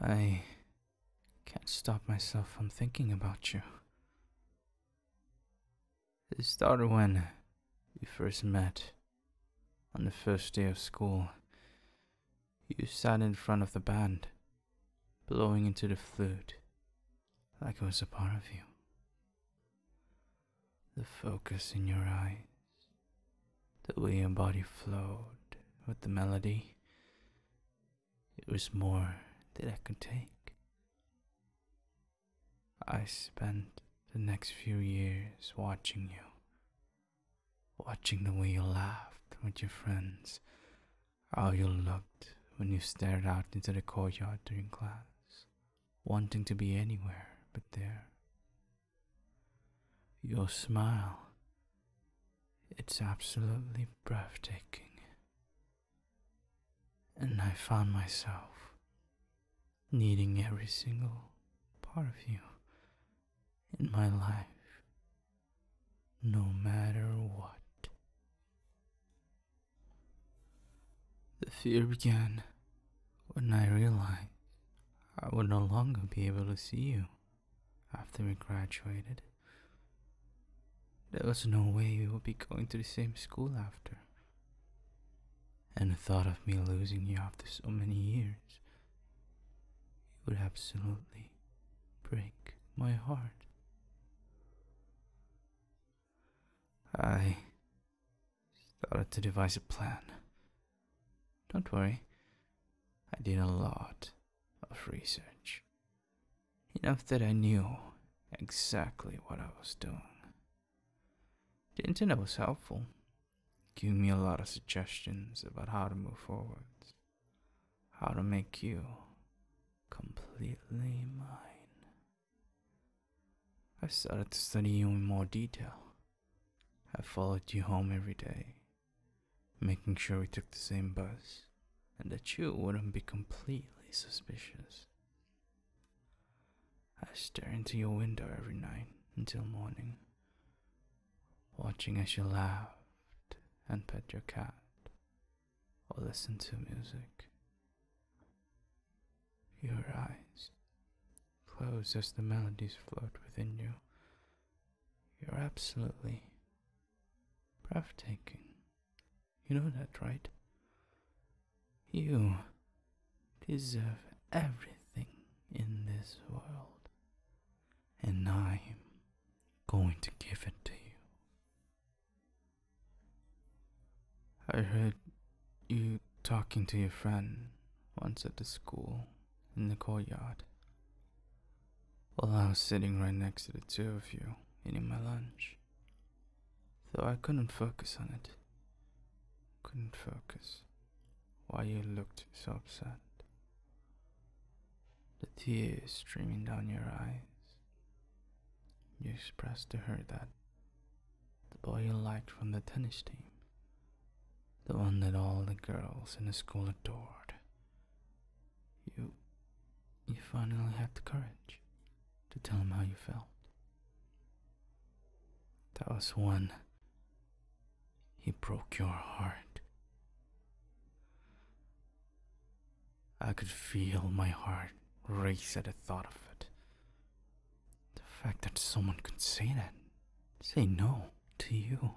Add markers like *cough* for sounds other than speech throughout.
I can't stop myself from thinking about you. It started when we first met on the first day of school. You sat in front of the band, blowing into the flute like it was a part of you. The focus in your eyes, the way your body flowed with the melody. It was more than I could take. I spent the next few years watching you, watching the way you laughed with your friends, how you looked when you stared out into the courtyard during class, wanting to be anywhere but there. Your smile, it's absolutely breathtaking. And I found myself needing every single part of you in my life, no matter what. The fear began when I realized I would no longer be able to see you after we graduated. There was no way we would be going to the same school after. And the thought of me losing you after so many years, it would absolutely break my heart. I started to devise a plan don't worry, I did a lot of research. Enough that I knew exactly what I was doing. The internet was helpful, giving me a lot of suggestions about how to move forward, how to make you completely mine. I started to study you in more detail, I followed you home every day, making sure we took the same bus and that you wouldn't be completely suspicious. I stare into your window every night until morning, watching as you laughed and pet your cat or listened to music. Your eyes close as the melodies float within you you're absolutely breathtaking. You know that, right? You deserve everything in this world, and I'm going to give it to you. I heard you talking to your friend once at the school in the courtyard while I was sitting right next to the two of you eating my lunch. Though I couldn't focus on it. Couldn't focus. Why you looked so upset. The tears streaming down your eyes. You expressed to her that the boy you liked from the tennis team the one that all the girls in the school adored. You. you finally had the courage to tell him how you felt. That was when he broke your heart. I could feel my heart race at the thought of it. The fact that someone could say that, say no, to you.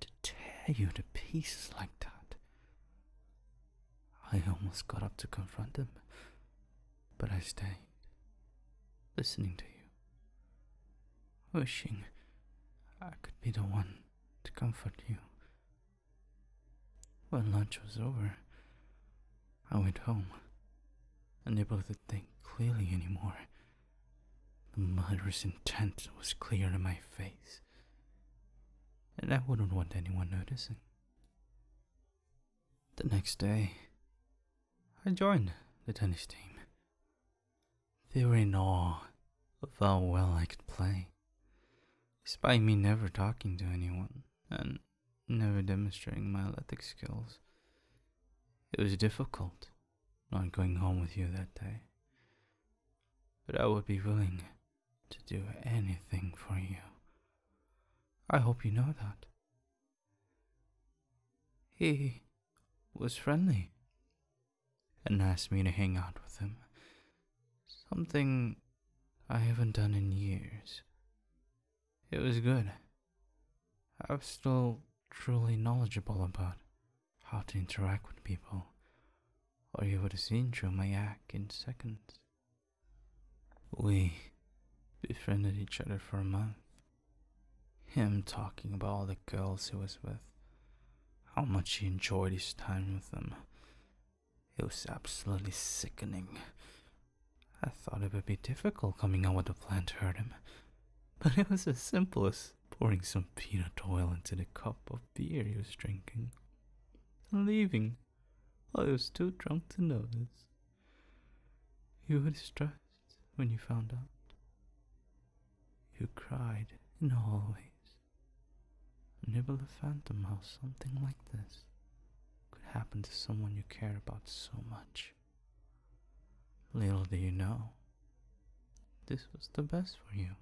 To tear you to pieces like that. I almost got up to confront them, but I stayed, listening to you, wishing I could be the one to comfort you. When lunch was over, I went home, unable to think clearly anymore. The murderous intent was clear in my face, and I wouldn't want anyone noticing. The next day, I joined the tennis team. They were in awe of how well I could play, despite me never talking to anyone and never demonstrating my athletic skills. It was difficult not going home with you that day. But I would be willing to do anything for you. I hope you know that. He was friendly and asked me to hang out with him. Something I haven't done in years. It was good. I was still truly knowledgeable about how to interact with people, or you would have seen through my act in seconds. We befriended each other for a month. Him talking about all the girls he was with, how much he enjoyed his time with them. It was absolutely sickening. I thought it would be difficult coming up with a plan to hurt him, *laughs* but it was as simple as pouring some peanut oil into the cup of beer he was drinking and leaving while he was too drunk to notice. You were distressed when you found out. You cried in the hallways. Never the phantom how something like this could happen to someone you care about so much. Little do you know, this was the best for you,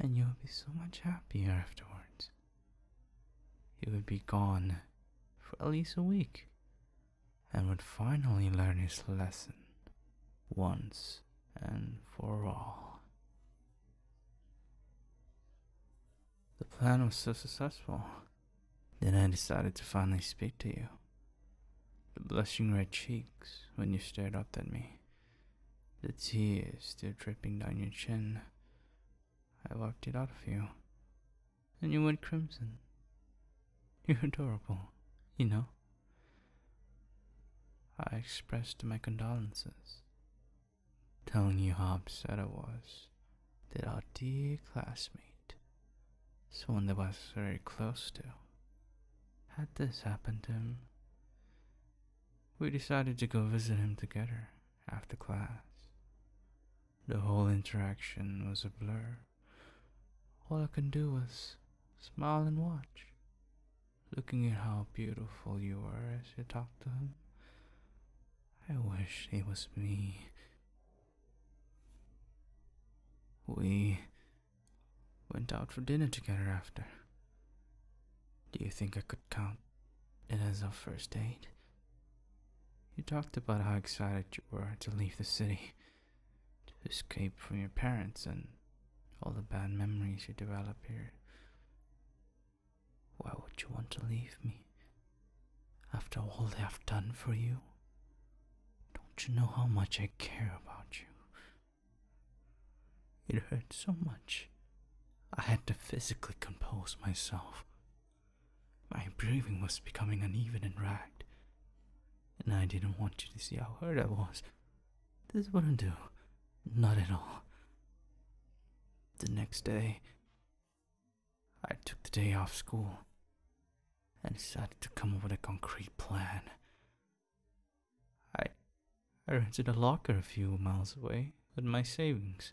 and you'll be so much happier afterwards. He would be gone for at least a week and would finally learn his lesson once and for all. The plan was so successful then I decided to finally speak to you. The blushing red cheeks when you stared up at me, the tears still dripping down your chin. I wiped it out of you, and you went crimson. you were adorable, you know. I expressed my condolences, telling you how upset I was that our dear classmate someone that was very close to. Had this happened to him, we decided to go visit him together after class. The whole interaction was a blur. All I could do was smile and watch, looking at how beautiful you were as you talked to him. I wish it was me we went out for dinner together after. Do you think I could count it as our first date? You talked about how excited you were to leave the city, to escape from your parents and all the bad memories you develop here. Why would you want to leave me? After all they have done for you, don't you know how much I care about you? It hurt so much. I had to physically compose myself. My breathing was becoming uneven and ragged, and I didn't want you to see how hurt I was. This wouldn't do, not at all. The next day, I took the day off school and decided to come up with a concrete plan. I, I rented a locker a few miles away with my savings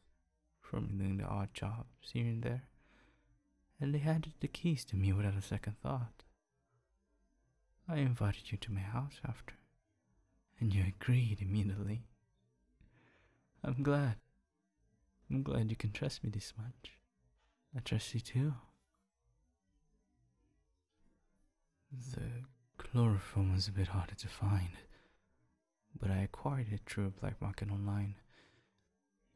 from doing the odd jobs here and there, and they handed the keys to me without a second thought. I invited you to my house after, and you agreed immediately. I'm glad I'm glad you can trust me this much. I trust you too. The chloroform was a bit harder to find, but I acquired it through a black market online.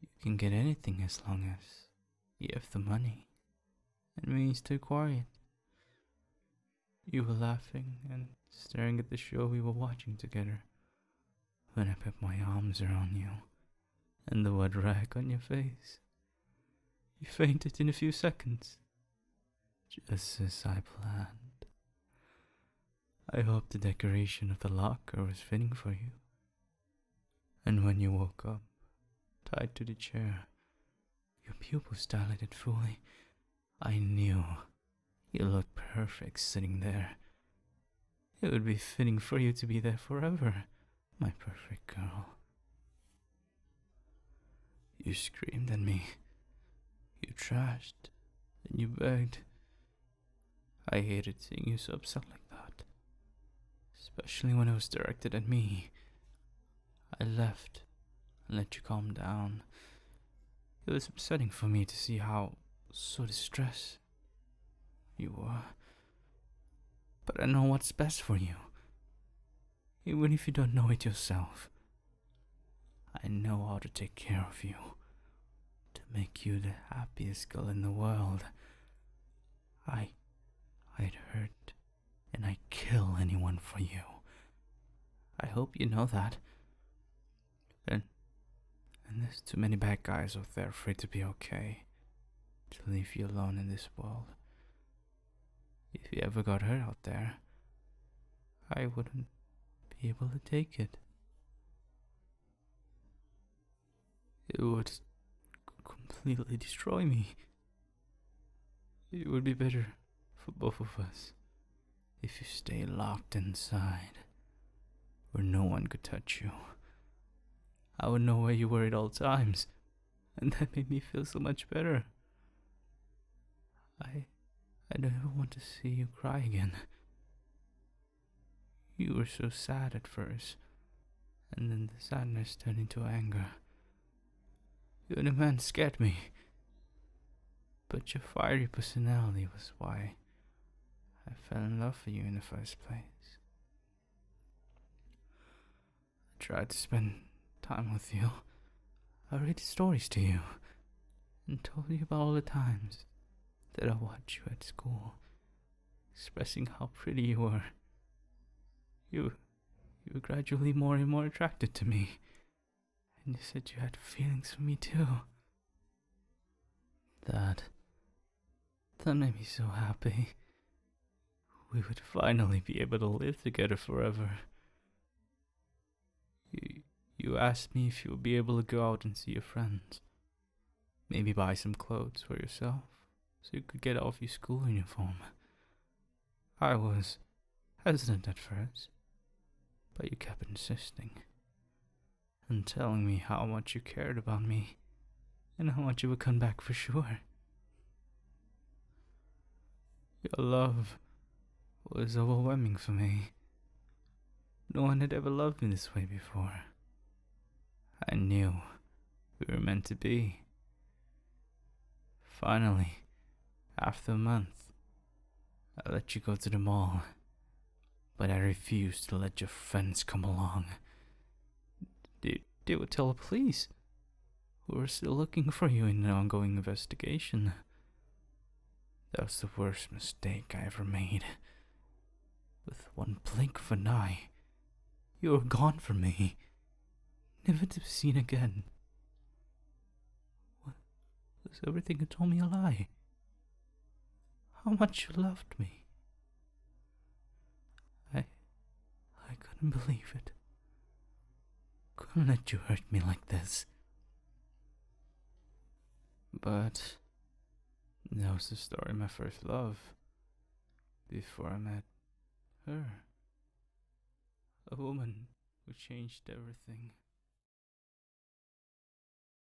You can get anything as long as you have the money It means to acquire it. You were laughing and staring at the show we were watching together when I put my arms around you and the wet rag on your face. You fainted in a few seconds, just as I planned. I hoped the decoration of the locker was fitting for you. And when you woke up, tied to the chair, your pupils dilated fully. I knew you looked perfect sitting there, it would be fitting for you to be there forever, my perfect girl. You screamed at me. You trashed and you begged. I hated seeing you so upset like that, especially when it was directed at me. I left and let you calm down. It was upsetting for me to see how so distressed you were. Uh, but I know what's best for you. Even if you don't know it yourself, I know how to take care of you. To make you the happiest girl in the world. I. I'd hurt and I'd kill anyone for you. I hope you know that. Then, and there's too many bad guys out there for it to be okay, to leave you alone in this world. If you ever got hurt out there, I wouldn't be able to take it. It would completely destroy me. It would be better for both of us if you stay locked inside where no one could touch you. I would know where you were at all times, and that made me feel so much better. I. I don't ever want to see you cry again. You were so sad at first, and then the sadness turned into anger. You and the man scared me, but your fiery personality was why I fell in love for you in the first place. I tried to spend time with you. I read stories to you and told you about all the times that I watched you at school, expressing how pretty you were. You, you were gradually more and more attracted to me, and you said you had feelings for me too. That that made me so happy. We would finally be able to live together forever. You, asked me if you would be able to go out and see your friends. Maybe buy some clothes for yourself, so you could get off your school uniform. I was hesitant at first, but you kept insisting and telling me how much you cared about me and how much you would come back for sure. Your love was overwhelming for me. No one had ever loved me this way before. I knew we were meant to be. Finally, after a month, I let you go to the mall but I refused to let your friends come along. They, they would tell the police. who are still looking for you in an ongoing investigation. That was the worst mistake I ever made. With one blink of an eye, you were gone from me, never to be seen again. What? Was everything you told me a lie? how much you loved me. I. I couldn't believe it. Couldn't let you hurt me like this. But. That was the story of my first love. Before I met her. A woman who changed everything.